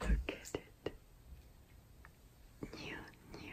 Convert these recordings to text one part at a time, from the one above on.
Look at it. New, new. new.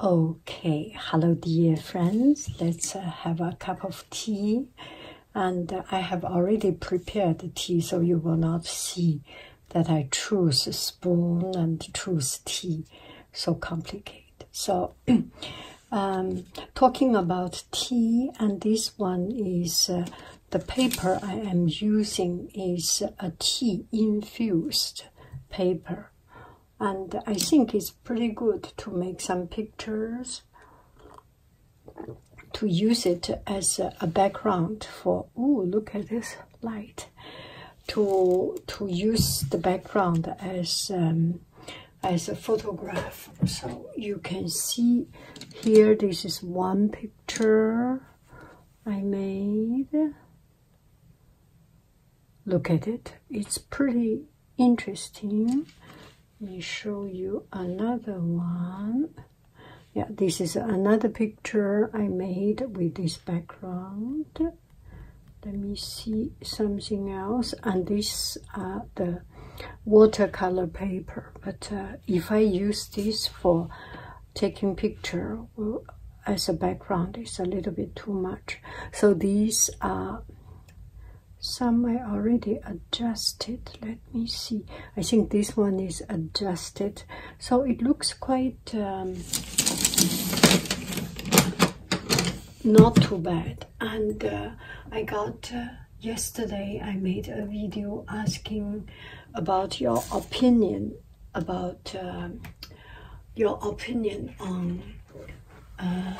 Okay, hello, dear friends. Let's uh, have a cup of tea. And uh, I have already prepared the tea, so you will not see that I choose spoon and choose tea. So complicated. So, um, talking about tea, and this one is. Uh, the paper I am using is a tea infused paper, and I think it's pretty good to make some pictures to use it as a background for oh look at this light to to use the background as um, as a photograph so you can see here this is one picture picture I made. Look at it, it's pretty interesting. Let me show you another one. Yeah, this is another picture I made with this background. Let me see something else. And this are the watercolor paper but uh, if I use this for taking picture uh, as a background it's a little bit too much so these are some I already adjusted let me see I think this one is adjusted so it looks quite um, not too bad and uh, I got yesterday I made a video asking about your opinion about um, your opinion on uh,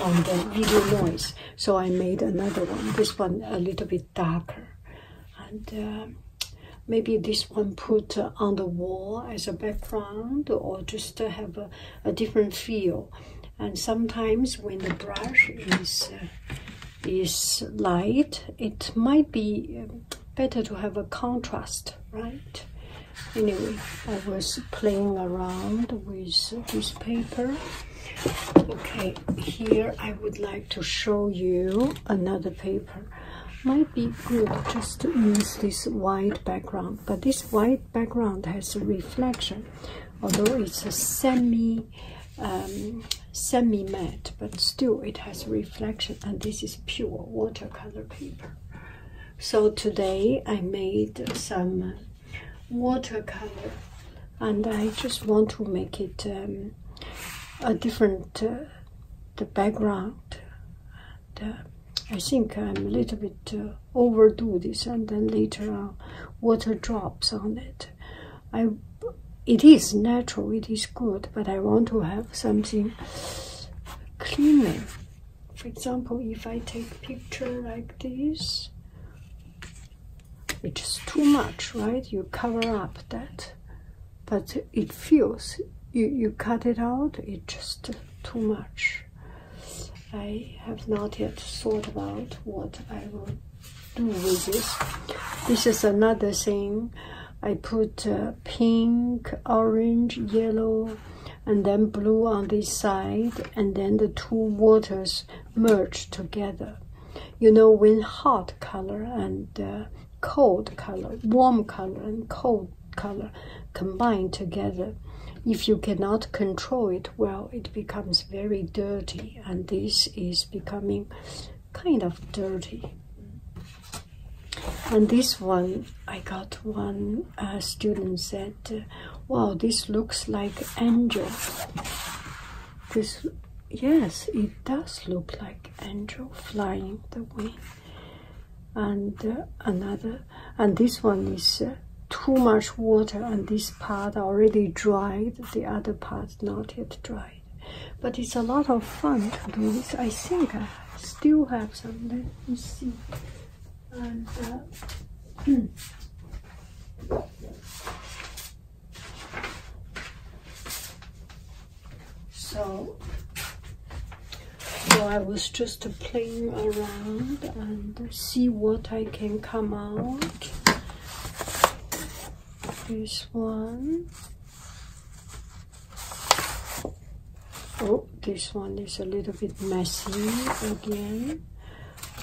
on the video noise. So I made another one. This one a little bit darker, and um, maybe this one put on the wall as a background or just have a, different feel. And sometimes when the brush is uh, is light, it might be um, better to have a contrast, right? Anyway, I was playing around with this paper. Okay, here I would like to show you another paper. Might be good just to use this white background, but this white background has a reflection, although it's a semi um, semi-matte, but still it has reflection. And this is pure watercolor paper. So today I made some watercolor, and I just want to make it um, a different uh, the background. And, uh, I think I'm a little bit uh, overdo this, and then later on, water drops on it it is natural, it is good, but I want to have something cleaner. For example, if I take picture like this, it's too much, right? You cover up that, but it feels you you cut it out. It's just too much. I have not yet thought about what I will do this. This is another thing. I put uh, pink, orange, yellow, and then blue on this side, and then the two waters merge together. You know, when hot color and uh, cold color, warm color and cold color combine together, if you cannot control it well, it becomes very dirty, and this is becoming kind of dirty. And this one, I got one uh, student said, uh, "Wow, this looks like angel." This, yes, it does look like angel flying the wing. And uh, another, and this one is too much water, and this part already dried, the other part not yet dried but it's a lot of fun to do this i think i still have some let me see uh, so so I was just playing around and see what I can come out this one. Oh, this one is a little bit messy again.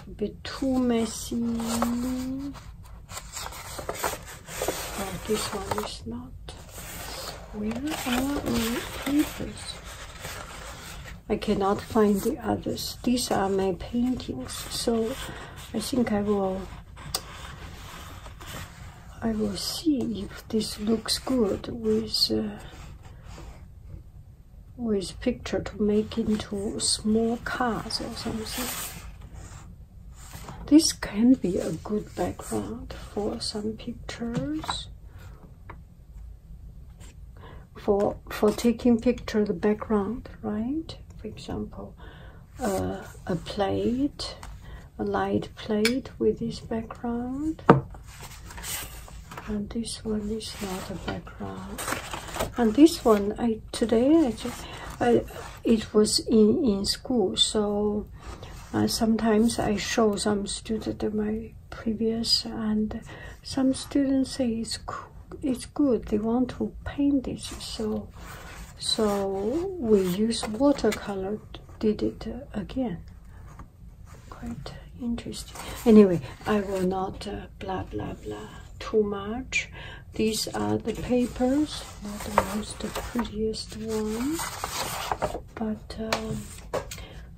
A bit too messy. this one is not. Where are my papers? I cannot find the others. These are my paintings. So I think I will I will see if this looks good with uh, with picture to make into small cars or something. This can be a good background for some pictures. For for taking picture the background, right? For example, uh, a plate, a light plate with this background. And this one is not a background. And this one, I today I, I it was in in school, so uh, sometimes I show some student my previous, and some students say it's cool, it's good. They want to paint this, so so we use watercolor did it again quite interesting anyway i will not uh, blah blah blah too much these are the papers not the most prettiest one but um,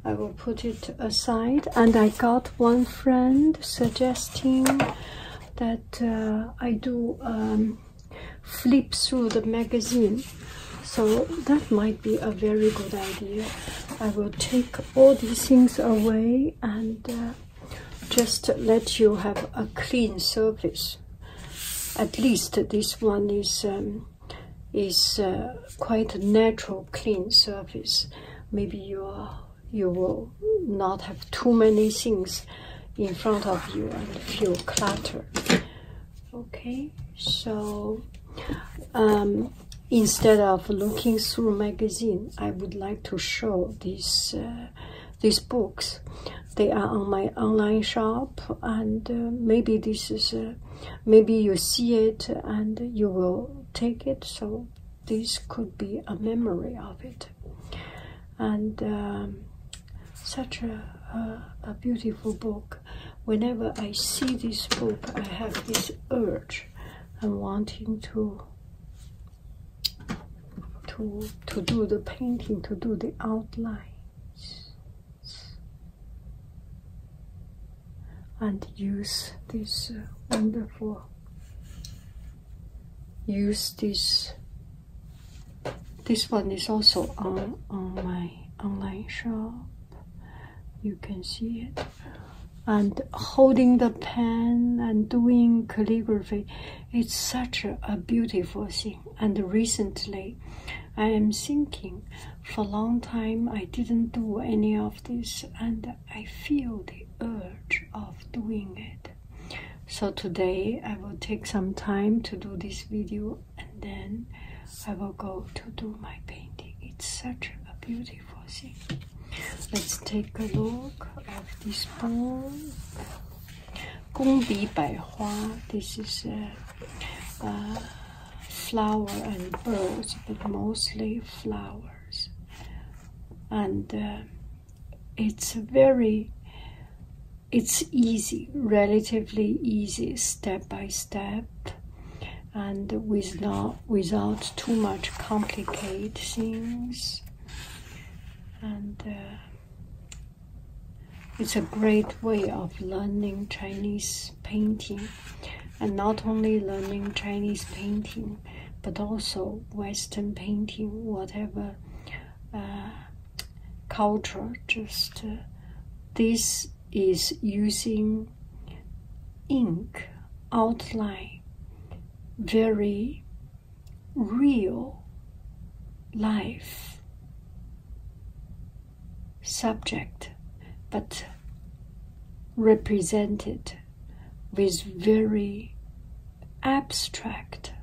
I will put it aside and I got one friend suggesting that uh, I do um, flip through the magazine so that might be a very good idea i will take all these things away and uh, just let you have a clean surface at least this one is um, is uh, quite a natural clean surface maybe you are you will not have too many things in front of you and feel cluttered. Okay, so um, instead of looking through magazine, I would like to show these uh, these books. They are on my online shop, and uh, maybe this is uh, maybe you see it and you will take it. So this could be a memory of it and um, such a, a, beautiful book whenever i see this book i have this urge I'm wanting to to to do the painting to do the outlines and use this uh, wonderful use this this one is also on, on my online shop. You can see it. And holding the pen and doing calligraphy, it's such a, a beautiful thing. And recently, I am thinking for a long time I didn't do any of this and I feel the urge of doing it so today I will take some time to do this video and then I will go to do my painting. It's such a beautiful thing. Let's take a look of this poem. 宫比百花. This is a, flower and birds, but mostly flowers. And uh, it's very it's easy, relatively easy, step by step, and without without too much complicated things. And uh, it's a great way of learning Chinese painting, and not only learning Chinese painting, but also Western painting, whatever. Uh, culture just uh, this is using ink outline very real life subject but represented with very abstract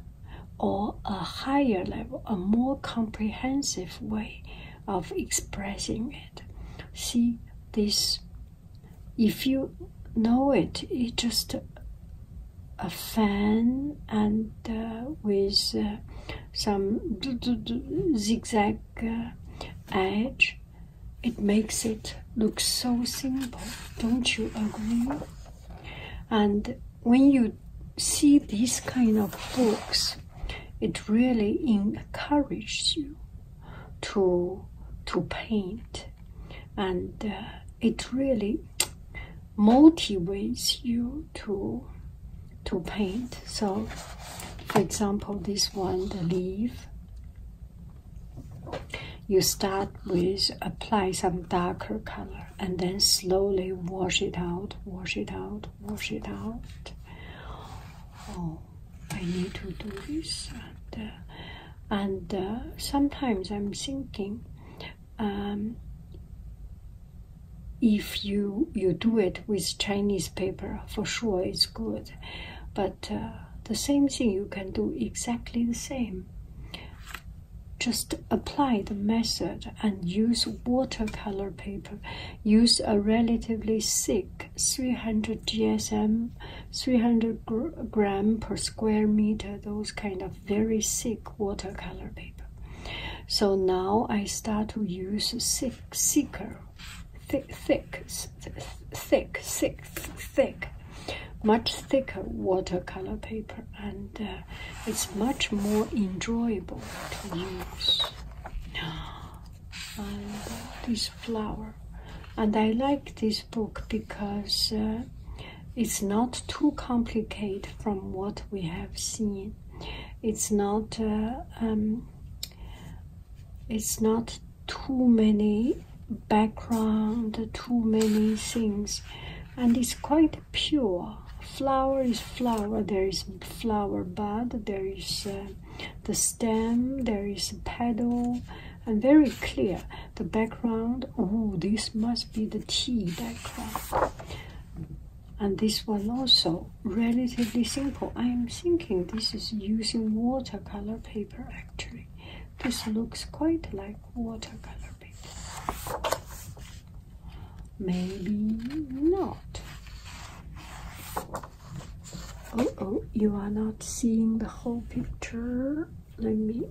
or a higher level, a more comprehensive way of expressing it. See this, if you know it, it's just a fan and uh, with uh, some zigzag uh, edge. It makes it look so simple, don't you agree? And when you see these kind of books, it really encourages you to to paint, and uh, it really motivates you to to paint. So, for example, this one, the leaf. You start with apply some darker color and then slowly wash it out, wash it out, wash it out. Oh, I need to do this. And, uh, uh, sometimes I'm thinking um, if you, you do it with Chinese paper, for sure it's good. But uh, the same thing you can do exactly the same just apply the method and use watercolor paper. Use a relatively thick 300 GSM, 300 gram per square meter, those kind of very thick watercolor paper. So now I start to use thick, thicker, thick, thick, thick, thick, thick, much thicker watercolor paper and uh, it's much more enjoyable to use. And this flower, and I like this book because uh, it's not too complicated from what we have seen. It's not. Uh, um, it's not too many background, too many things, and it's quite pure. Flower is flower. There is flower bud. There is uh, the stem. There is a petal, and very clear. The background. Oh, this must be the tea background. And this one also relatively simple. I am thinking this is using watercolor paper actually. This looks quite like watercolor paper. Maybe not. Oh, oh, you are not seeing the whole picture. Let me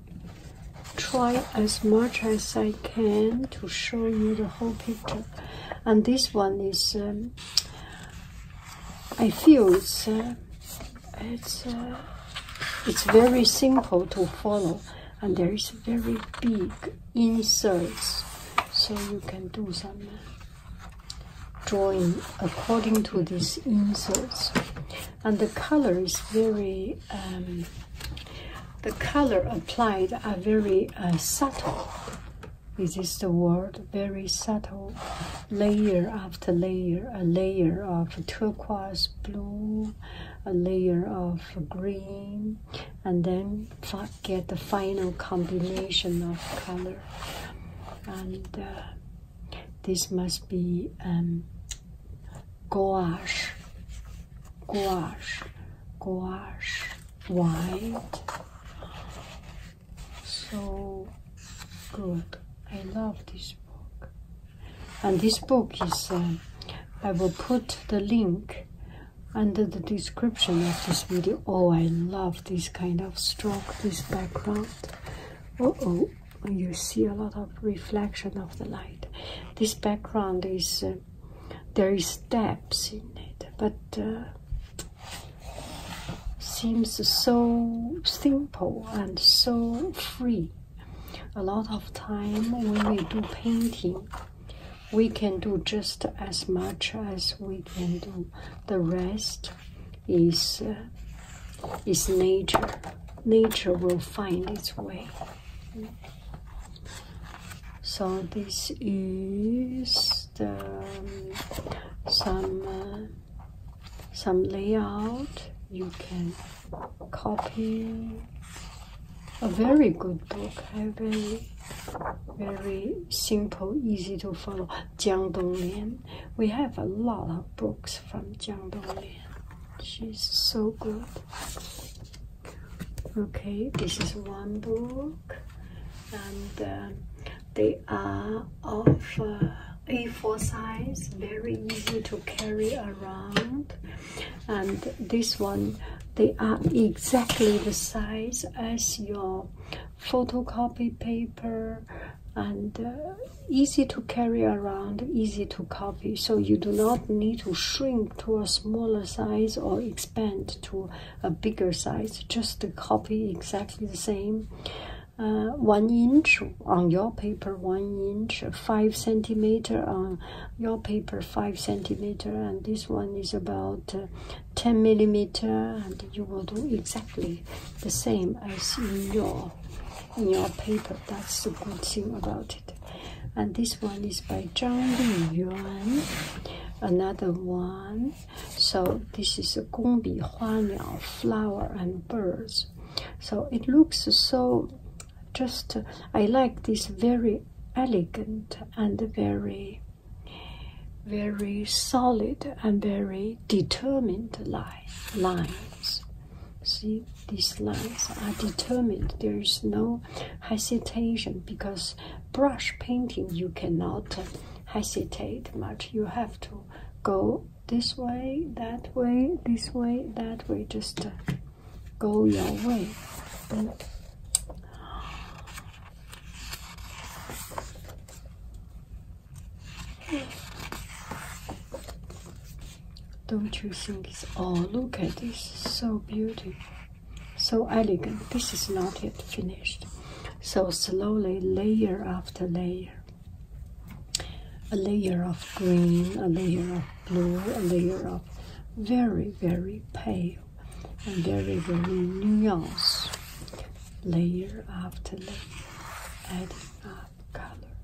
try as much as I can to show you the whole picture. And this one is, um, I feel it's, uh, it's, uh, it's very simple to follow. And there is very big inserts so you can do some drawing according to these inserts and the color is very um, the color applied are very uh, subtle is this the word very subtle layer after layer a layer of turquoise blue a layer of green and then get the final combination of color and uh, this must be um, gouache gouache gouache white so good I love this book and this book is um, I will put the link under the description of this video. Oh, I love this kind of stroke, this background. Oh, oh, you see a lot of reflection of the light. This background is, uh, there is depth in it, but uh, seems so simple and so free. A lot of time when we do painting, we can do just as much as we can do the rest is uh, is nature nature will find its way so this is the um, some uh, some layout you can copy a very good book, very, very simple, easy to follow. Jiang Donglian. We have a lot of books from Jiang Donglian. She's so good. Okay, this is one book, and uh, they are of uh, A4 size, very easy to carry around and this one they are exactly the size as your photocopy paper and uh, easy to carry around easy to copy so you do not need to shrink to a smaller size or expand to a bigger size just copy exactly the same uh, one inch on your paper one inch five centimeter on your paper 5 centimeter and this one is about uh, 10 millimeter and you will do exactly the same as in your in your paper that's the good thing about it and this one is by Zhang Yuan another one so this is a gongbi huaniao flower and birds so it looks so just uh, I like this very elegant and very very solid and very determined lines see these lines are determined there is no hesitation because brush painting you cannot hesitate much you have to go this way that way this way that way just go oh, your way. don't you think it's oh look at this so beautiful so elegant this is not yet finished so slowly layer after layer a layer of green a layer of blue a layer of very very pale and there is a nuance layer after layer adding up color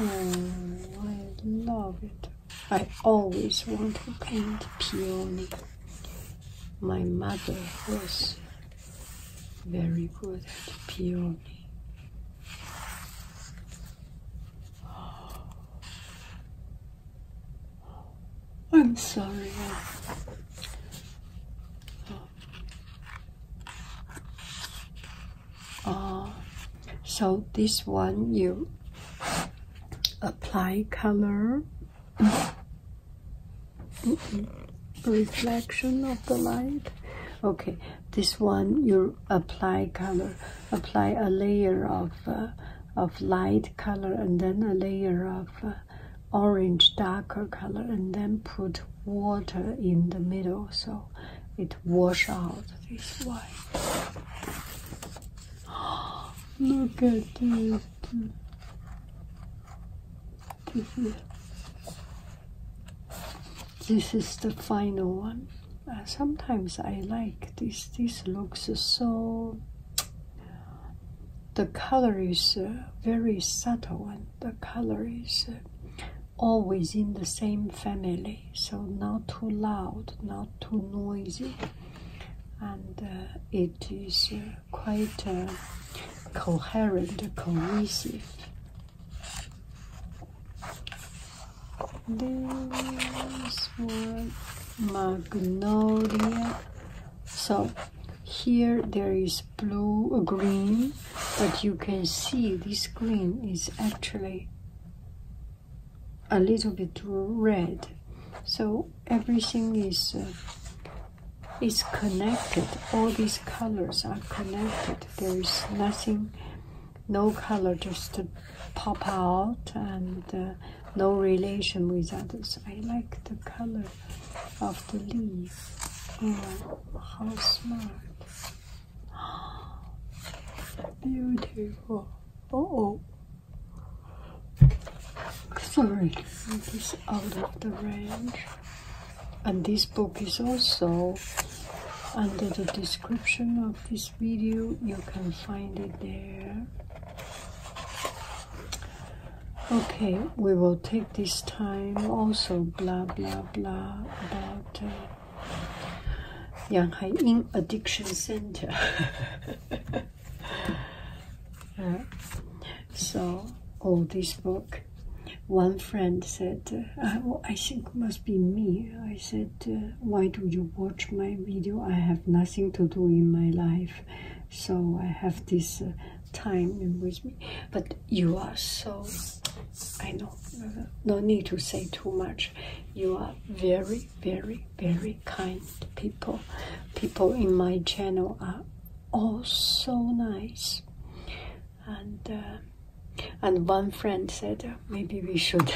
oh I love it I always want to paint peony my mother was very good at peony oh. I'm sorry. Uh, so this one you apply color reflection of the light okay this one you apply color apply a layer of uh, of light color and then a layer of uh, orange darker color and then put water in the middle so it washes out this white look at this this is the final one uh, sometimes I like this. This looks so. The color is uh, very subtle, and the color is uh, always in the same family, so not too loud, not too noisy, and it is quite coherent, cohesive this one magnolia so here there is blue uh, green but you can see this green is actually a little bit red so everything is uh, is connected all these colors are connected there is nothing no color just to pop out and uh, no relation with others. I like the color of the leaf. Oh, how smart. Beautiful. oh. Sorry, it is out of the range. And this book is also under the description of this video you can find it there okay we will take this time also blah blah blah about uh, yang hai in addiction center uh, so all this book one friend said uh, oh, i think must be me i said uh, why do you watch my video? I have nothing to do in my life, so I have this uh, time with me. But you are so, I know, uh, no need to say too much. You are very, very, very kind people. People in my channel are all so nice. And uh, and one friend said, maybe we should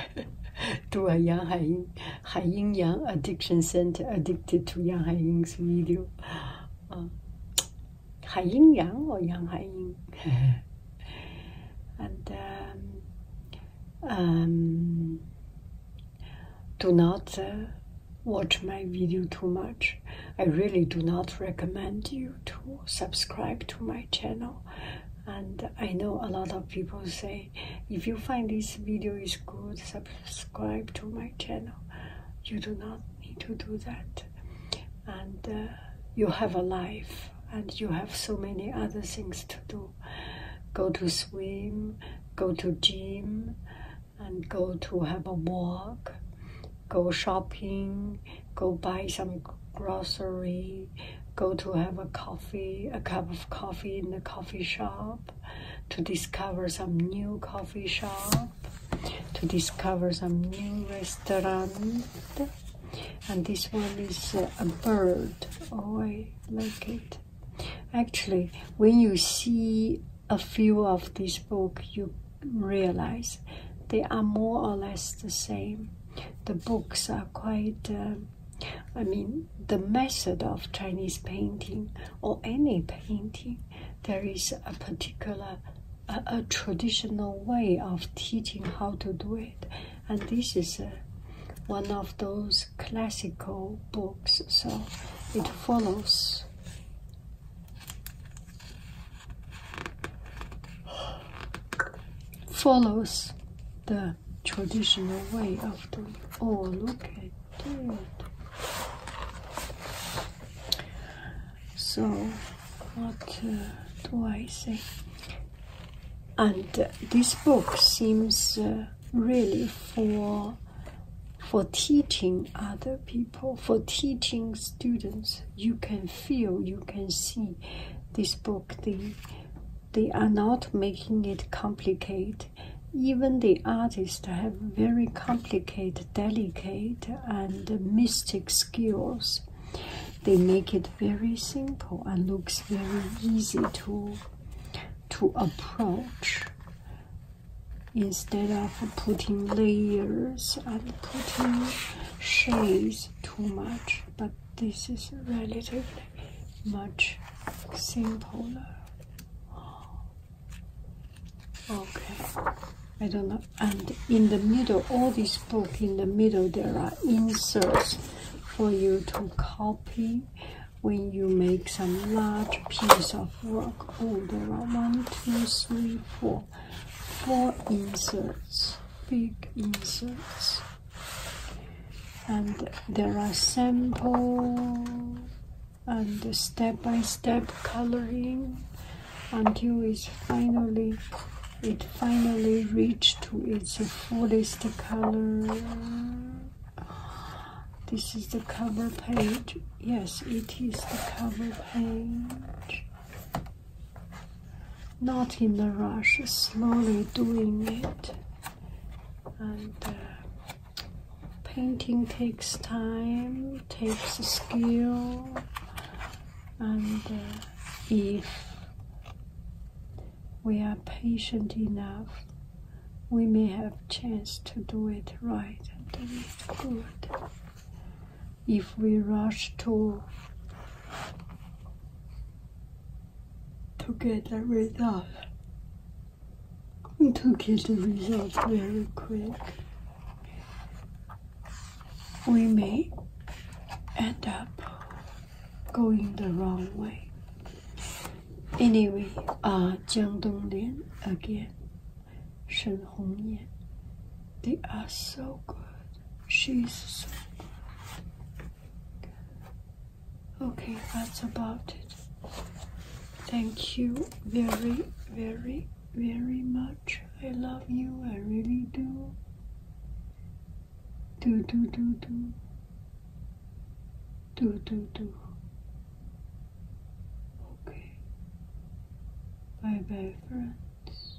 do a Yang Haiying, Haiying Yang Addiction Center addicted to Yang Haiying's video. Uh, Haiying Yang or Yang Haiying? and um, um, do not uh, watch my video too much. I really do not recommend you to subscribe to my channel and I know a lot of people say if you find this video is good subscribe to my channel you do not need to do that and uh, you have a life and you have so many other things to do go to swim go to gym and go to have a walk go shopping go buy some groceries go to have a coffee, a cup of coffee in the coffee shop, to discover some new coffee shop, to discover some new restaurant. And this one is uh, a bird. Oh, I like it. Actually, when you see a few of this book, you realize they are more or less the same. The books are quite uh, I mean, the method of Chinese painting or any painting, there is a particular, a, traditional way of teaching how to do it, and this is uh, one of those classical books, so it follows follows the traditional way of doing. Oh, look at that! So, what uh, do I say? And this book seems uh, really for for teaching other people, for teaching students. You can feel, you can see this book, the they are not making it complicated. Even the artists have very complicated, delicate, and mystic skills. They make it very simple and looks very easy to to approach instead of putting layers and putting shades too much but this is relatively much simpler. Okay, I don't know. And in the middle, all this book in the middle, there are inserts for you to copy when you make some large piece of work. Oh, there are one, two, three, four, four inserts, big inserts and there are sample and step-by-step coloring until it's finally it finally reached to its fullest color this is the cover page yes it is the cover page not in a rush slowly doing it and uh, painting takes time takes skill and uh, if we are patient enough we may have chance to do it right and do it good if we rush to to get a result. To get the results very quick, we may end up going the wrong way. Anyway, ah, Jiang Donglin again, Shen Hongyan, they are so good. She's so good. Okay, that's about it. Thank you very, very, very much. I love you, I really do. Do, do, do, do. Do, do, do. Okay. Bye bye, friends.